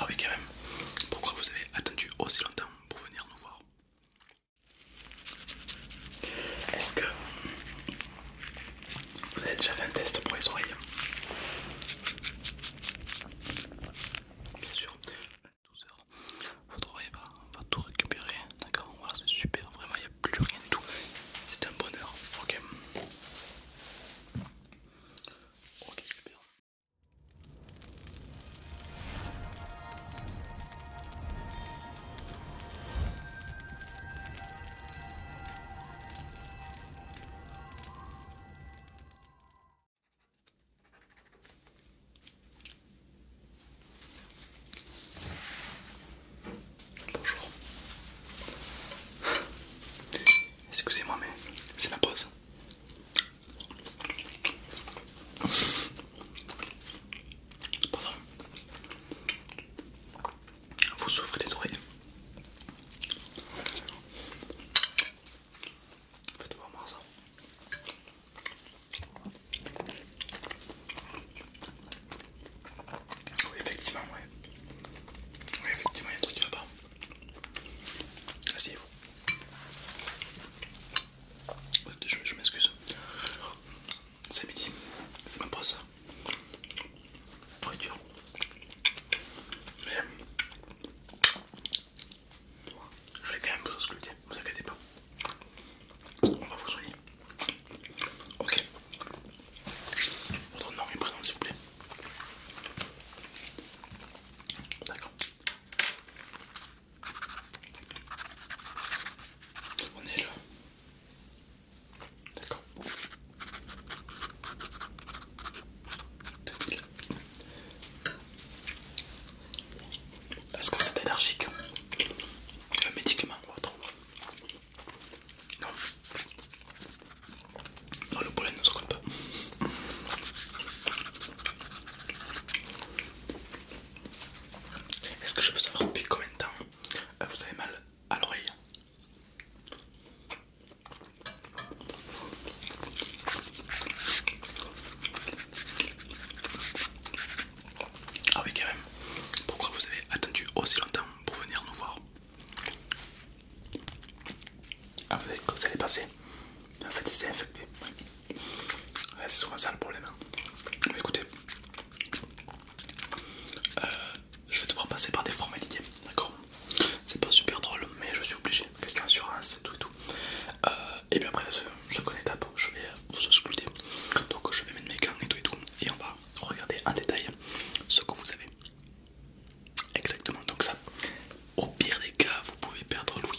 Ah oui quand même, pourquoi vous avez attendu aussi longtemps pour venir nous voir Est-ce que vous avez déjà fait un test pour les oreilles Bien sûr, 12 heures. Vous travaillez pas, on va tout récupérer. D'accord Voilà, c'est super. Vraiment, il n'y a plus rien de tout. C'est un bonheur. Ok. Ok, super. Bonjour. Excusez-moi, mais c'est ma pause. Pardon. Vous souffrez des oreilles. Faites voir ça. Oui, effectivement, ouais. Oui, effectivement, il y a un truc qui va pas. Asseyez-vous. Je, je m'excuse. C'est midi. C'est même pas ça. Pas dur. Mais je vais quand même vous ne vous inquiétez pas. On va vous soigner. Ok. Votre nom et prénom s'il vous plaît. D'accord. On est là. D'accord. Est-ce que c'est allergique Un euh, médicament ou autre Non. le pollen ne se pas. Est-ce que je peux savoir depuis combien de temps euh, vous avez mal à l'oreille ah oui quand même, pourquoi vous avez attendu aussi longtemps pour venir nous voir Ah vous savez ça allait passer En fait il s'est infecté. Ouais, C'est souvent ça le problème. Hein. écoutez, euh, je vais devoir passer par des formalités, d'accord C'est pas super drôle mais je suis obligé question assurance, tout et tout. Euh, et bien après, je connais étape, je vais vous ausculter. Donc, je vais mettre mes gants et tout et tout, et on va regarder en détail ce que vous avez. Exactement, donc ça, au pire des cas, vous pouvez perdre Louis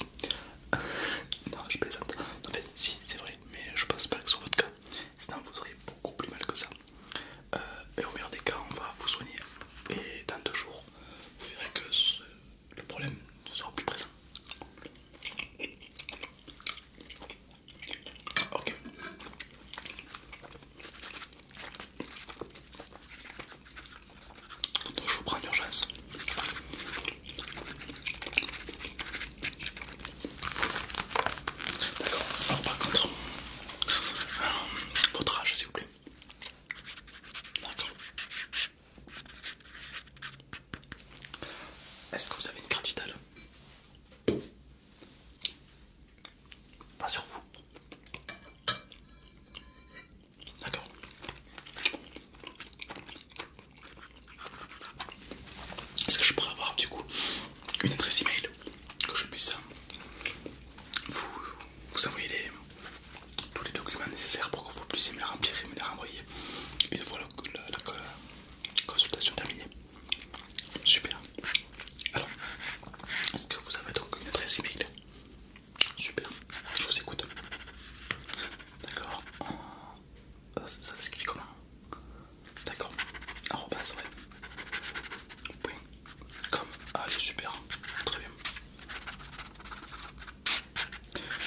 non, je plaisante. En fait, si, c'est vrai, mais je pense pas que soit votre cas, sinon vous aurez beaucoup plus mal que ça. Euh, et au pire des cas, on va vous soigner. Et dans deux jours, vous verrez que ce, le problème ne sera plus présent. Ok. je vous prends urgence. D'accord. Alors par contre, euh, votre âge s'il vous plaît. D'accord. Est-ce que vous avez une carte vitale Pas sur vous. D'accord. Est-ce que je pourrais avoir du coup une adresse email que je puisse vous, vous envoyer les, tous les documents nécessaires pour que vous puissiez me les remplir et me les renvoyer une fois la, consultation terminée. Super. Alors, est-ce que vous avez donc une adresse email Super, je vous écoute. D'accord. Euh, ça, s'écrit comment D'accord. Arrobase. ouais. Point. Comme. Allez, ah, super. Très bien.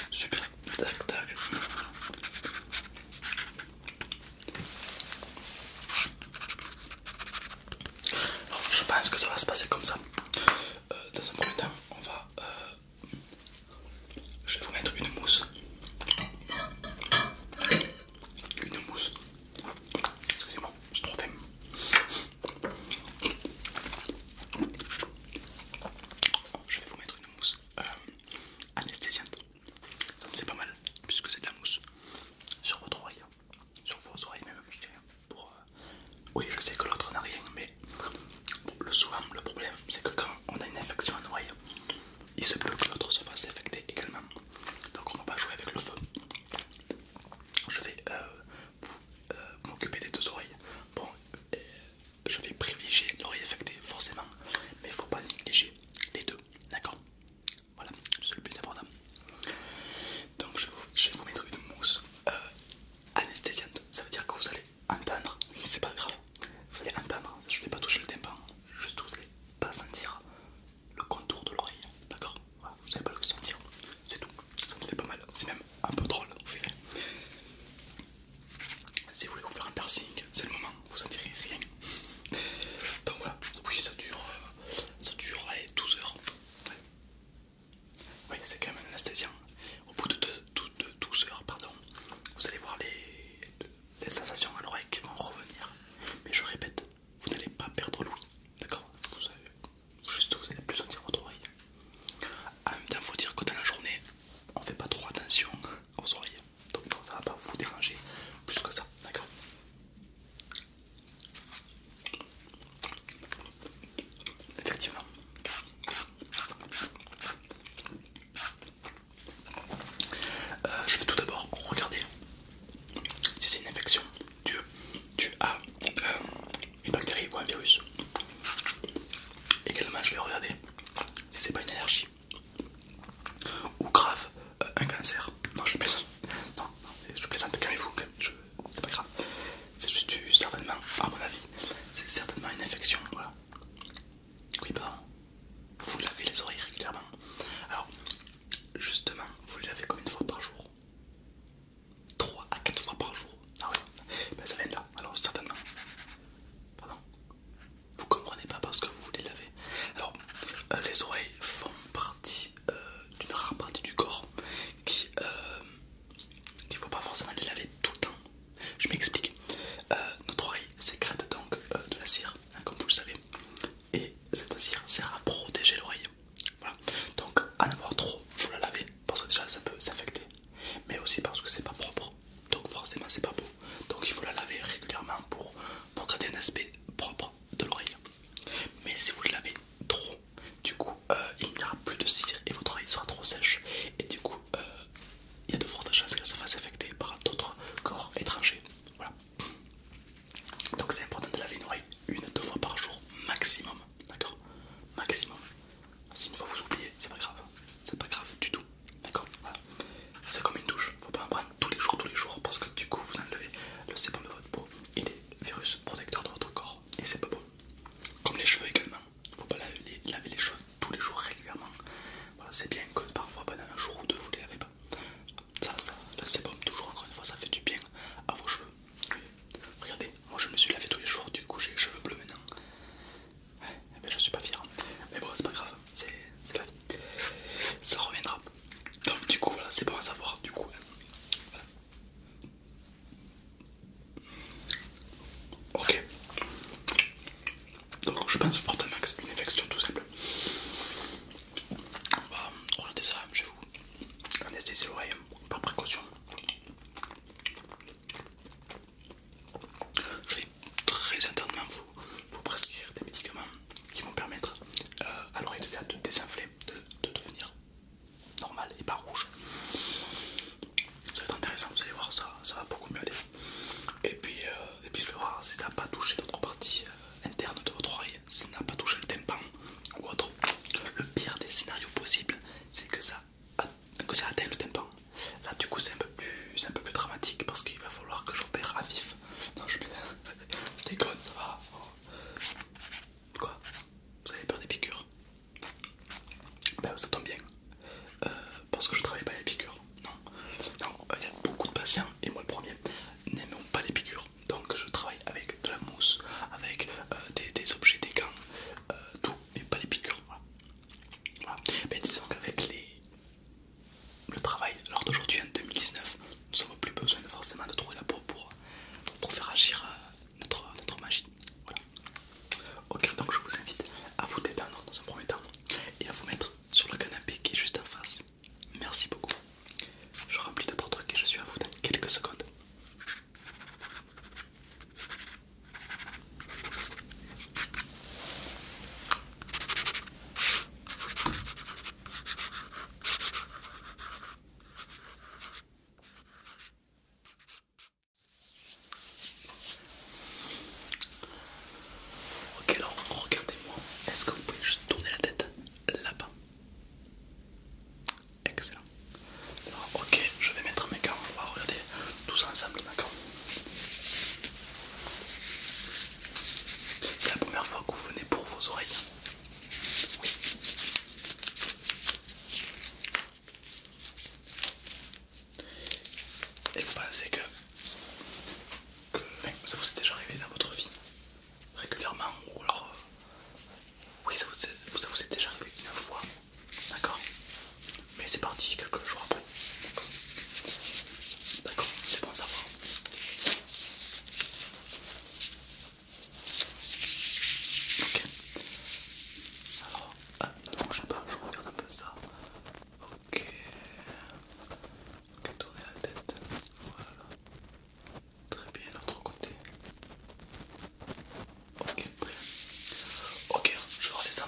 Super, tac tac. je pense que ça va se passer comme ça. Euh, dans un premier temps, on va. Euh, je vais vous mettre une mousse. Une mousse. Excusez-moi, je suis trop faim. Oh, je vais vous mettre une mousse euh, anesthésiante. Ça me fait pas mal puisque c'est de la mousse sur votre oreille, hein. sur vos oreilles même. Je euh, Oui, je sais que l'autre n'a rien, mais le souvent le problème c'est que quand on a une infection à l'oreille, il se peut que l'autre se fasse infecter également. Donc on va pas jouer avec le feu. Je vais euh, vous, euh, m'occupez des deux oreilles. Bon, euh, je vais privilégier l'oreille affectée, forcément, mais il faut pas négliger les deux, d'accord Voilà, c'est le plus important. Donc, je, vais vous mettre une mousse euh, anesthésiante, ça veut dire que vous allez entendre, c'est pas grave, vous allez entendre, je ne vais pas toucher le tympan, juste vous allez pas sentir le contour de l'oreille, d'accord Vous n'allez pas le sentir, c'est tout ça ne fait pas mal, c'est même un peu drôle, vous verrez. Si vous voulez vous faire un piercing, c'est le moment, vous sentirez rien. Donc voilà, oui ça dure, euh, ça dure 12 heures. Oui, c'est quand même un Au bout de, 12 heures, pardon, vous allez voir les, sensations à l'oreille qui vont revenir. Mais je répète, vous n'allez pas perdre l'ouïe, d'accord vous, juste vous allez plus sentir votre oreille. En même temps, faut dire que dans la journée, on fait pas trop attention aux oreilles, donc ça ça va pas vous déranger plus que ça, d'accord Effectivement. Euh, je vais tout d'abord regarder si c'est une infection Dieu tu as euh, une bactérie ou un virus. Également, je vais regarder si c'est pas une allergie ou grave euh, un cancer. Non, je plaisante. Non, non, je plaisante. Calmez-vous. C'est pas grave. C'est juste certainement, à mon avis, c'est certainement une infection. Voilà. Oui, pas, Vous lavez les oreilles régulièrement. Alors, justement, vous les lavez comme une fois par jour 3 à 4 fois par jour. Ah ouais, ben, ça vient de là, alors certainement. Pardon Vous comprenez pas parce que vous voulez laver. Alors, euh, les oreilles font partie euh, d'une rare partie du corps qui ne euh, faut pas forcément les laver tout le temps. Je m'explique. notre oreille sécrète donc de la cire, hein, comme vous le savez, et cette cire sert à protéger l'oreille. Voilà. Donc, en avoir trop, faut la laver parce que déjà ça peut s'infecter mais aussi parce que c'est pas propre, donc forcément c'est pas beau. Donc il faut la laver régulièrement pour, pour garder un aspect propre de l'oreille. Mais si vous la lavez trop, du coup euh, il n'y aura plus de cire et votre oreille sera trop sèche, et du coup euh, il y a de fortes chances qu'elle se fasse affecter par d'autres corps étrangers. Voilà. Donc c'est important de laver une oreille une deux fois par jour maximum, d'accord Maximum. Si une fois vous oubliez, c'est pas grave, c'est pas grave du tout, d'accord C'est comme une douche, faut pas en prendre tous les jours, tous les jours, parce que du coup vous enlevez le sébum de votre peau Il est virus protecteur de votre corps, et c'est pas beau Comme les cheveux également, faut pas laver les, laver les cheveux tous les jours régulièrement. Voilà, c'est bien que parfois pendant un jour ou deux vous les lavez pas. ça, le sébum toujours encore une fois, ça fait du bien à vos cheveux, Regardez, moi je me suis lavé tous les jours, du coup j'ai les cheveux bleus maintenant. Ouais, ben je suis pas fier. Mais bon, c'est pas grave, c'est la vie. Ça reviendra. Donc du coup, voilà, c'est bon à savoir, du coup. Hein. Ok. Donc je pense fortement que c'est une infection tout simple. On va regarder ça, chez vous anesthésie l'oreille par précaution. Je vais très internement vous, prescrire des médicaments qui vont permettre euh, à l'oreille de, de désinfler, de, devenir normal et pas rouge. Ça va être intéressant, vous allez voir, ça, va beaucoup mieux aller. Et puis, euh, puis je vais voir si ça n'a pas touché d'autres partie euh, interne de votre oreille, si ça n'a pas touché le tympan ou autre. Le pire des scénarios possibles, c'est que ça à, que ça atteint le tympan. Là du coup c'est un, peu plus, un peu plus dramatique parce qu'il va falloir que j'opère à vif. Non je, déconne, ça va. Oh. Quoi Vous avez peur des piqûres Ben ça tombe bien. Euh, parce que je travaille pas les piqûres. Non, il y a beaucoup de patients, et moi le premier, n'aimons pas les piqûres. Donc je travaille avec de la mousse, avec euh, des, des objets, des gants, euh, tout, mais pas les piqûres. Voilà. Mais disons qu'avec les... le travail lors d'aujourd'hui en 2019, nous n'avons plus besoin de, forcément de trouver la peau pour, euh, faire agir euh, notre, notre magie. Voilà. Ok, donc je vous invite à vous détendre dans un premier temps et à vous mettre sur le canapé qui est juste en face. Merci beaucoup. Je remplis d'autres trucs et je suis à vous dans quelques secondes. Ok alors regardez-moi, est-ce que vous pouvez juste tourner la tête là-bas Excellent. ok, je vais mettre mes gants, on va regarder tous ensemble, C'est la première fois que vous venez pour vos oreilles. Oui. Et vous pensez que, ça vous est déjà arrivé dans votre vie régulièrement ou alors euh, oui, ça vous est, vous déjà arrivé une fois, d'accord Mais c'est parti quelques jours après. D'accord, c'est bon à savoir. Ok. Alors, ah, ne bougez pas, je regarde un peu ça. Ok. Ok, tournez la tête. Voilà. Très bien, l'autre côté. Ok, très bien. Ok, je redescends.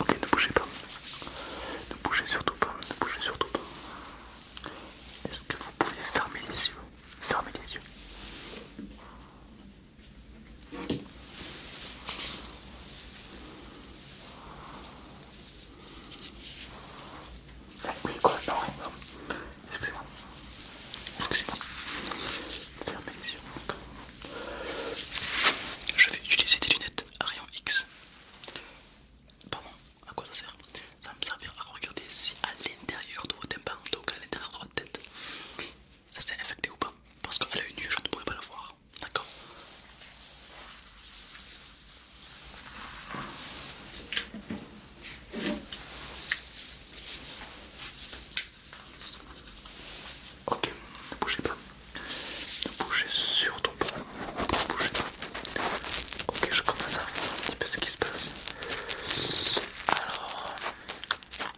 Ok, ne bougez pas. Ne bougez surtout pas. Ne bougez surtout pas. Est-ce que vous pouvez fermer les yeux Fermez les yeux. Oui, quoi Non, Excusez-moi. Excusez-moi. Fermez les yeux. Je vais utiliser des lunettes à X. Pardon, à quoi ça sert Ça va me servir à regarder si à l'intérieur de votre tympan, donc à l'intérieur de tête. Ça s'est infecté ou pas Parce a une nuit, je ne pourrais pas la voir. D'accord Ok, ne bougez pas. Ne bougez surtout pas. Ne bougez pas. Ok, je commence à voir un petit peu ce qui se passe. Alors,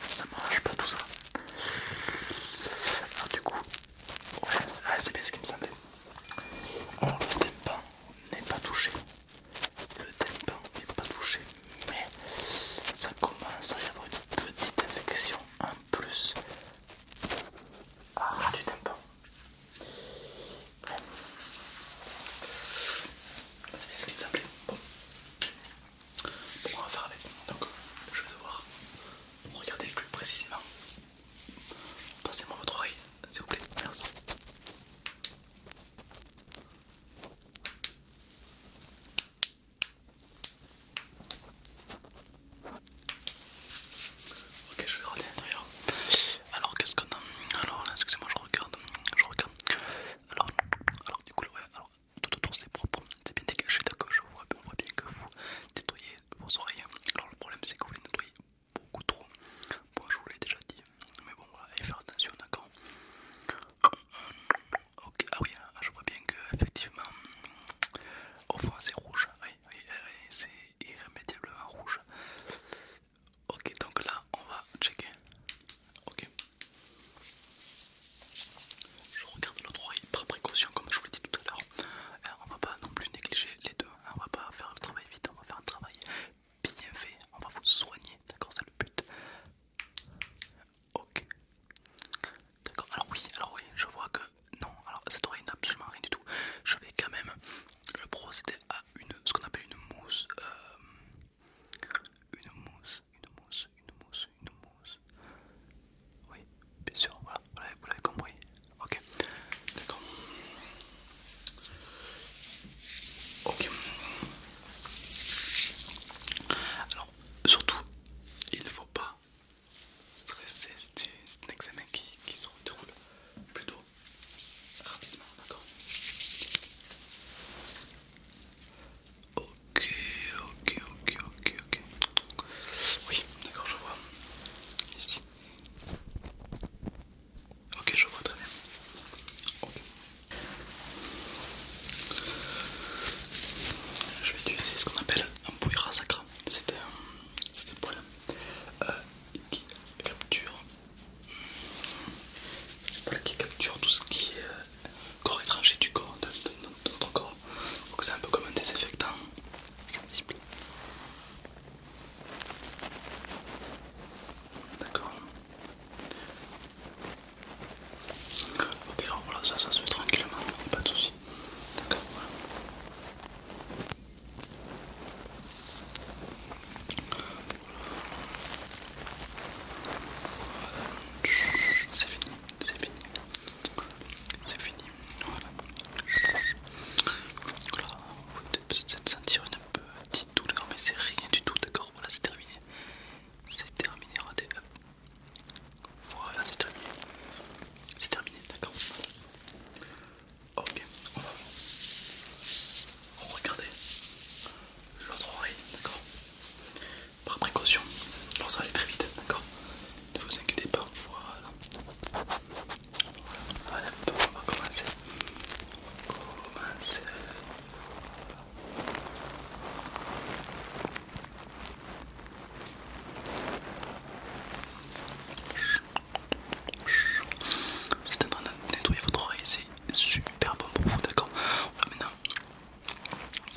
ça marche pas tout ça. Alors, du coup, ah, c'est bien ce qui me semblait. Alors, le tympan n'est pas touché. Le tympan n'est pas touché, mais ça commence à y avoir une petite infection en plus. Ah, du tympan. Ah, c'est ce qui vous a Bon. bon, on va faire avec. Donc, je vais devoir regarder plus précisément. Passez-moi votre oreille, s'il vous plaît. Merci. Ok, je vais regarder l'intérieur. Alors, qu'est-ce qu'on a Alors, excusez-moi, je regarde. Je regarde. Alors, du coup, alors, tout autour c'est propre, c'est bien dégagé, d'accord, je vois, bien que vous nettoyez vos oreilles. Alors le problème c'est que vous les nettoyez beaucoup trop. Bon, je vous l'ai déjà dit, mais bon, voilà, et faire attention, d'accord. Euh, ok, ah oui, hein, ah, je vois bien que effectivement, au fond c'est rouge, oui, oui, c'est irrémédiablement rouge. Ok, donc là on va checker. Ok. Je regarde l'autre oreille par précaution, comme je vous l'ai dit tout à l'heure. Euh, on va pas non plus négliger les deux. Hein. On va pas faire le travail vite, on va faire un travail bien fait. On va vous soigner, d'accord C'est le but. Ok. D'accord, alors oui, alors oui, je vois que non, alors cette oreille n'a absolument rien du tout. Je vais quand même procéder à une, ce qu'on appelle une mousse euh, une mousse, une mousse, une mousse, une mousse. Oui, bien sûr, voilà, vous l'avez compris. Ok, d'accord. Ok. Alors, surtout, il ne faut pas stresser, c'est un examen qui, qui se déroule plutôt rapidement, d'accord Ok, ok, ok, ok, ok. Oui, d'accord, je vois. Ici. Ok, je vois très bien. ok Je vais utiliser ce qu'on appelle un bouillera sacre C'est un, un poil euh, qui capture qui capture tout ce qui est euh, corps étranger du corps, de, notre corps. Donc c'est un peu comme un désinfectant sensible. D'accord. Ok alors voilà ça ça se fait tranquillement, pas de soucis. D'accord c'est fini, c'est fini. C'est fini, voilà. Là, vous peut-être sentir une petite douleur, mais c'est rien du tout, d'accord Voilà, c'est terminé. C'est terminé, regardez. Voilà, c'est terminé. C'est terminé, d'accord Ok, on va voir. Regardez l'autre oreille, d'accord Par précaution, ça va aller très vite, d'accord Ne vous inquiétez pas, voilà. Voilà, on va commencer. On va commencer. C'est en train de nettoyer votre oreille, ici super bon pour vous, d'accord voilà, maintenant,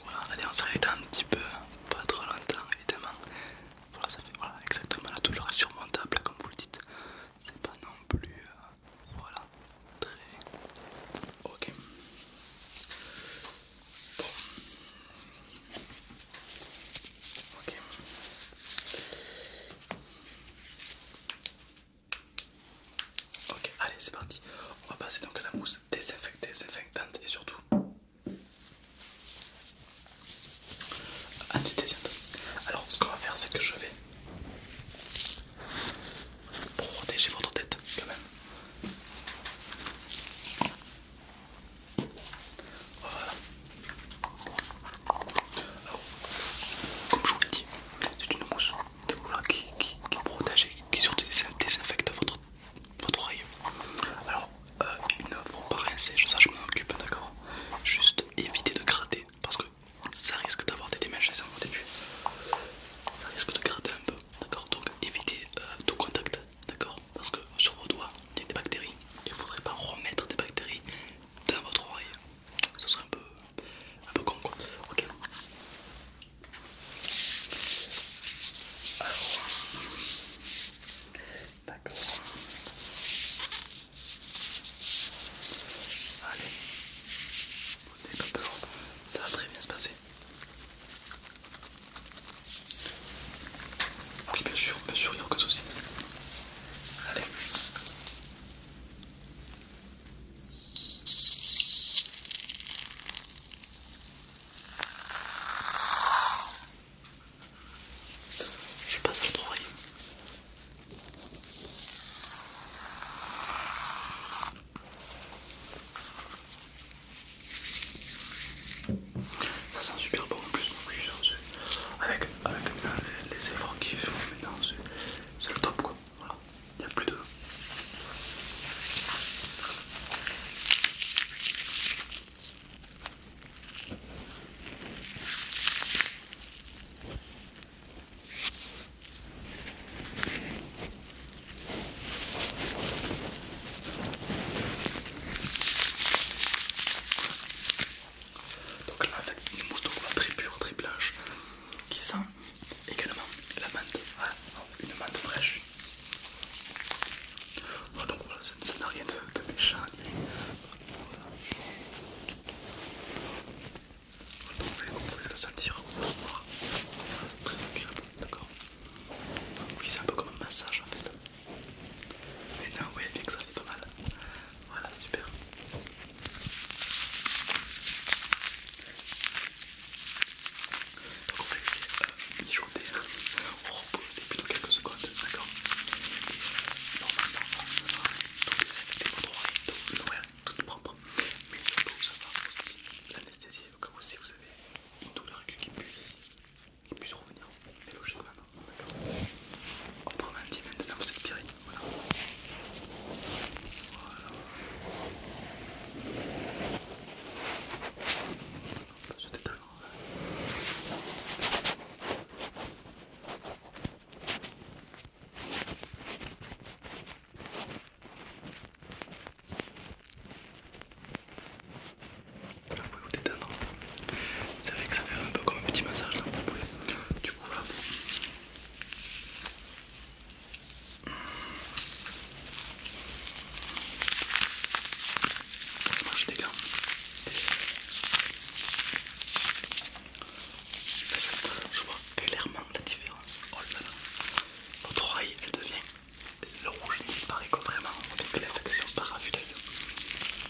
voilà, allez, on s'arrête un petit peu, pas trop longtemps, évidemment. Voilà, ça fait voilà, exactement la douleur surmontable, comme vous le dites. C'est pas non plus. Euh, voilà, très. Ok. Bon. Ok. Ok, allez, c'est parti. On va passer donc à la mousse désinfectante et surtout anesthésiante. Alors, ce qu'on va faire, c'est que je vais protéger votre tête quand même. Voilà. Alors, comme je vous l'ai dit, c'est une mousse qui, protège et qui surtout désinfecte votre, oreille. Alors, euh, il ne faut pas rincer, ça je m'en occupe, d'accord Juste éviter de gratter parce que ça risque d'avoir des démangeaisons au début. Ça risque de gratter un peu, d'accord Donc, évitez euh, tout contact, d'accord Parce que sur vos doigts, il y a des bactéries. Il ne faudrait pas remettre des bactéries dans votre oreille, ce serait un peu, un peu con quoi. Ok. Alors, d'accord. Allez, n'avez pas peur, ça va très bien se passer. Oui, bien sûr, bien sûr, il n'y a aucun souci. Allez. Je passe à l'autre Ça sent super bon en plus, avec, avec les, euh, les efforts qu'ils font maintenant c'est le top quoi. Voilà, il n'y a plus de. Donc là en fait une mousse de très pure, très blanche, qui sent également la menthe, ah, une menthe fraîche. Ah, donc voilà, ça n'a rien de, méchant. Donc, vous pouvez le sentir, ça c'est très agréable, d'accord Oui, c'est un peu comme un massage en fait. Mais non, oui, bien que ça fait pas mal. Voilà, super. Donc on va essayer laisser euh, mijoter, hein. reposer plutôt quelques secondes, d'accord euh, Normalement, ça va toutes les tout, votre tout donc propre, mais surtout ça va aussi l'anesthésie, donc si vous avez une douleur aiguë qui puisse, revenir, mais logiquement, d'accord entre 20 et 29 c'est le pire. Voilà. voilà. C'était talent. Voilà, vous pouvez vous détendre. C'est vrai que ça fait un peu comme un petit massage là, vous pouvez. Du coup, là, je Je vois clairement la différence. Oh là là. Votre oreille, elle devient. Le rouge disparaît complètement avec la par vue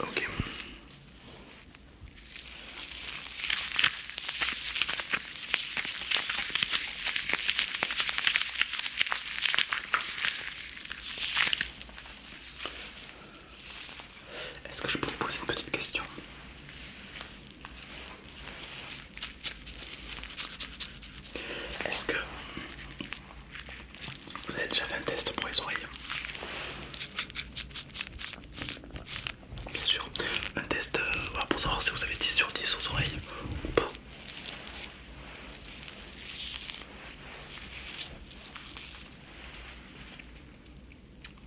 Ok. Est-ce que je peux vous poser une petite question Est-ce que vous avez déjà fait un test pour les oreilles Bien sûr, un test euh, pour savoir si vous avez 10 sur 10 aux oreilles ou pas.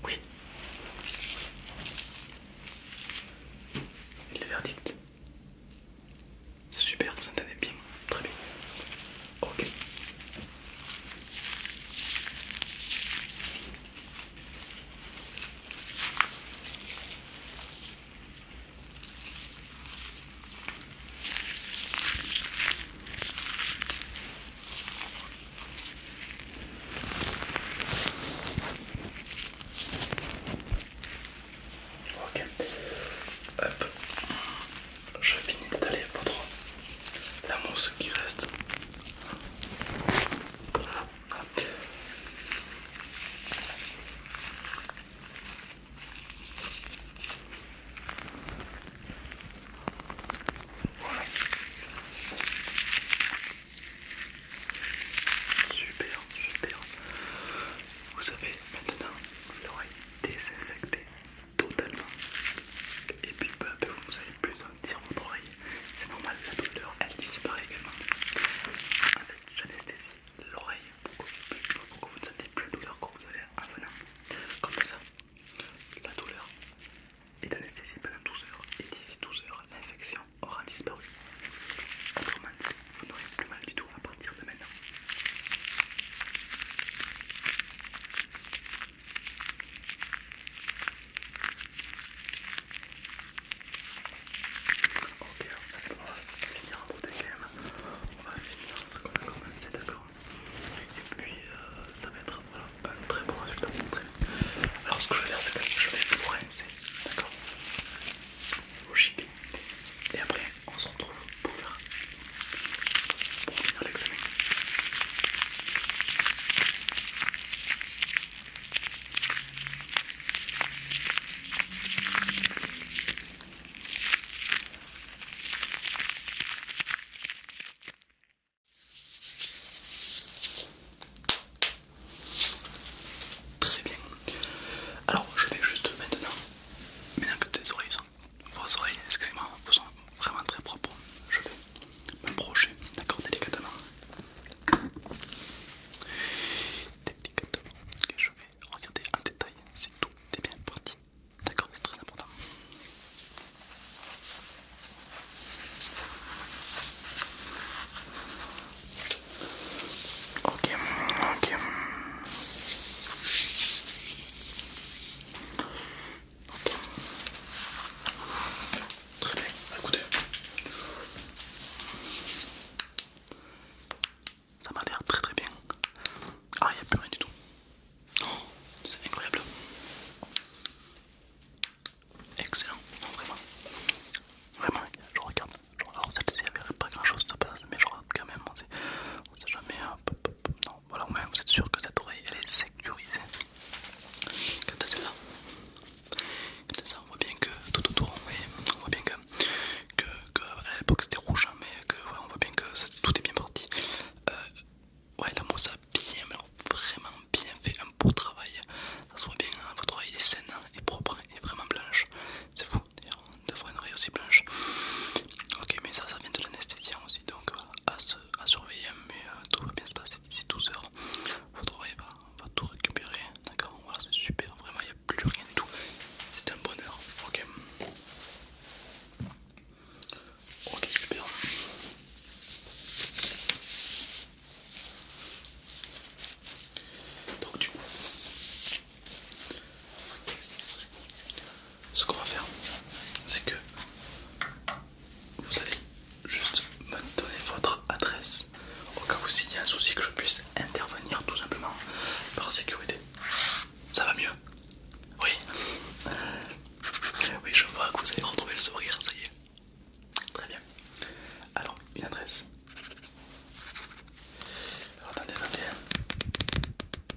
Oui. le verdict c'est super, vous entendez bien, très bien. Ok. Ok. Hop je finis d'aller votre la mousse qui reste. Super, super. Vous avez maintenant l'oreille désinfectée totalement. Et puis peu à peu, vous allez plus sentir votre oreille. C'est normal, la douleur elle disparaît également. fait, j'anesthésie l'oreille, pour, que vous ne sentiez plus la douleur quand vous allez en venant. Comme ça, la douleur est anesthésie pendant 12 heures et d'ici 12 heures, l'infection aura disparu. Autrement vous n'aurez plus mal du tout. On va partir de maintenant. Ok, on va finir en beauté quand même, On va finir ce qu'on a commencé, d'accord Et puis euh, ça va être un très bon résultat. Alors ce que je vais faire, c'est que je vais vous rincer, d'accord Logique. Et après, on se retrouve pour faire finir l'examen. Très bien. Alors je vais juste maintenant, mettre un tes oreilles vos oreilles, excusez-moi, vous sont vraiment très propres. Je vais me projeter d'accord, délicatement. Délicatement. je vais regarder en détail si tout est bien parti. D'accord, c'est très important. Ok, ok. Très bien, bah, écoutez. Ça m'a l'air très très bien. Ah, il n'y a plus rien du tout. Oh, c'est incroyable. Excellent, vraiment. Vraiment, je regarde. je regarde. celle-ci, il pas grand chose de base, mais je regarde quand même on sait jamais. Non, voilà, vous êtes sûr que cette oreille elle est sécurisée. Quant à celle-là, ça, on voit bien que tout autour, on, voit bien que, à l'époque c'était rouge, hein, mais que, on voit bien que tout est bien parti. Euh, ouais, la mousse a bien, vraiment bien fait un beau travail. Ça se voit bien, hein, votre oreille est saine, hein, et propre, et vraiment blanche. C'est fou on Devrait une oreille aussi blanche. Ok, mais ça, ça vient de l'anesthésien aussi, donc euh, à, surveiller. Mais euh, tout va bien se passer d'ici 12 h Votre oreille va, tout récupérer, d'accord Voilà, c'est super, vraiment, il n'y a plus rien de tout. C'est un bonheur, ok Ok, super. Donc, du coup, ce qu'on va faire, c'est que vous allez juste me donner votre adresse au cas où s'il y a un souci que je puisse intervenir tout simplement par sécurité. Ça va mieux Oui. Oui, je vois que vous allez retrouver le sourire, ça y est. Très bien. Alors, une adresse. attendez, attendez.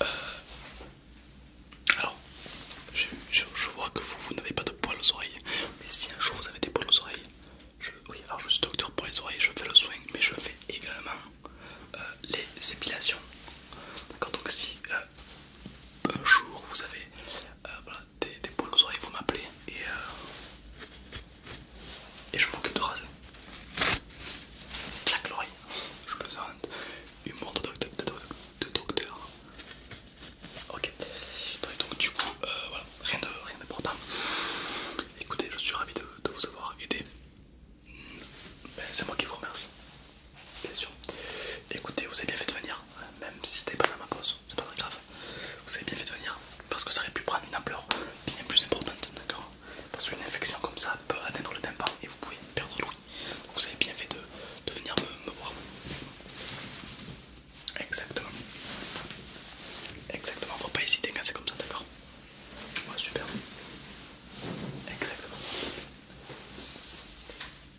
Euh, alors, je, vois que vous, vous n'avez pas de poils aux oreilles, mais si un jour vous avez des poils aux oreilles, je, oui, alors je suis docteur pour les oreilles, je fais le soin, mais je fais également euh, les épilations. D'accord, donc si euh, un jour vous avez des, poils aux oreilles, vous m'appelez et, et je m'occupe de raser. Claque l'oreille, je pesante Humour de, docteur. Ok. Donc, du coup, euh, voilà, rien d'important. Rien Écoutez, je suis ravi de, vous avoir aidé. Ben, c'est moi qui vous remercie. Bien sûr. Écoutez, vous avez bien fait de venir, même si c'était pas dans ma pause, c'est pas très grave. Vous avez bien fait de venir parce que ça aurait pu prendre une ampleur bien plus importante, d'accord Parce qu'une infection comme ça peut atteindre le tympan et vous pouvez perdre tout vous. avez bien fait de, venir me, voir. Exactement. Exactement, faut pas hésiter quand c'est comme ça, d'accord Ouais, super. Exactement.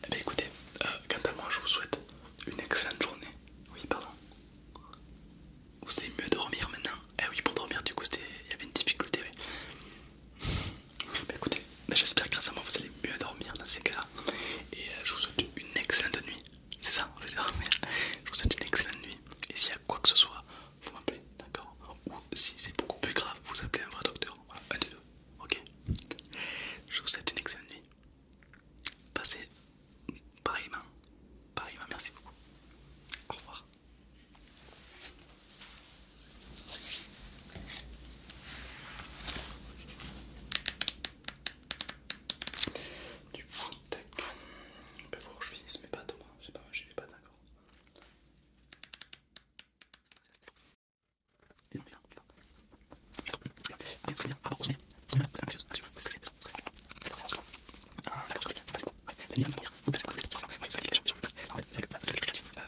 Eh bien écoutez, euh, quant à moi, je vous souhaite une excellente journée. Oui, pardon. Vous savez mieux dormir maintenant Eh oui, pour dormir, du coup, il y avait une difficulté, oui. Bah, écoutez, bah, j'espère que grâce à moi vous allez mieux dormir dans ces cas-là. Et euh, je vous souhaite une excellente nuit. C'est ça, on va dormir. Je vous souhaite une excellente nuit. Et s'il y a quoi que ce soit, vous m'appelez, d'accord Ou si c'est beaucoup plus grave, vous appelez un vrai docteur. un des deux. Ok Je vous souhaite une excellente nuit. Passez pareillement. Pareillement, merci beaucoup. Au revoir. Du coup, Il va falloir que je finisse mes pattes, moi. J'ai pas mangé d'accord.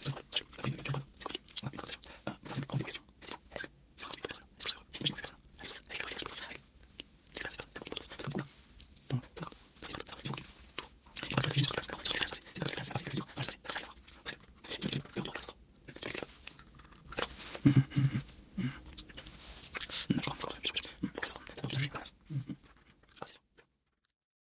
C'est ok, c'est ok, c'est c'est c'est c'est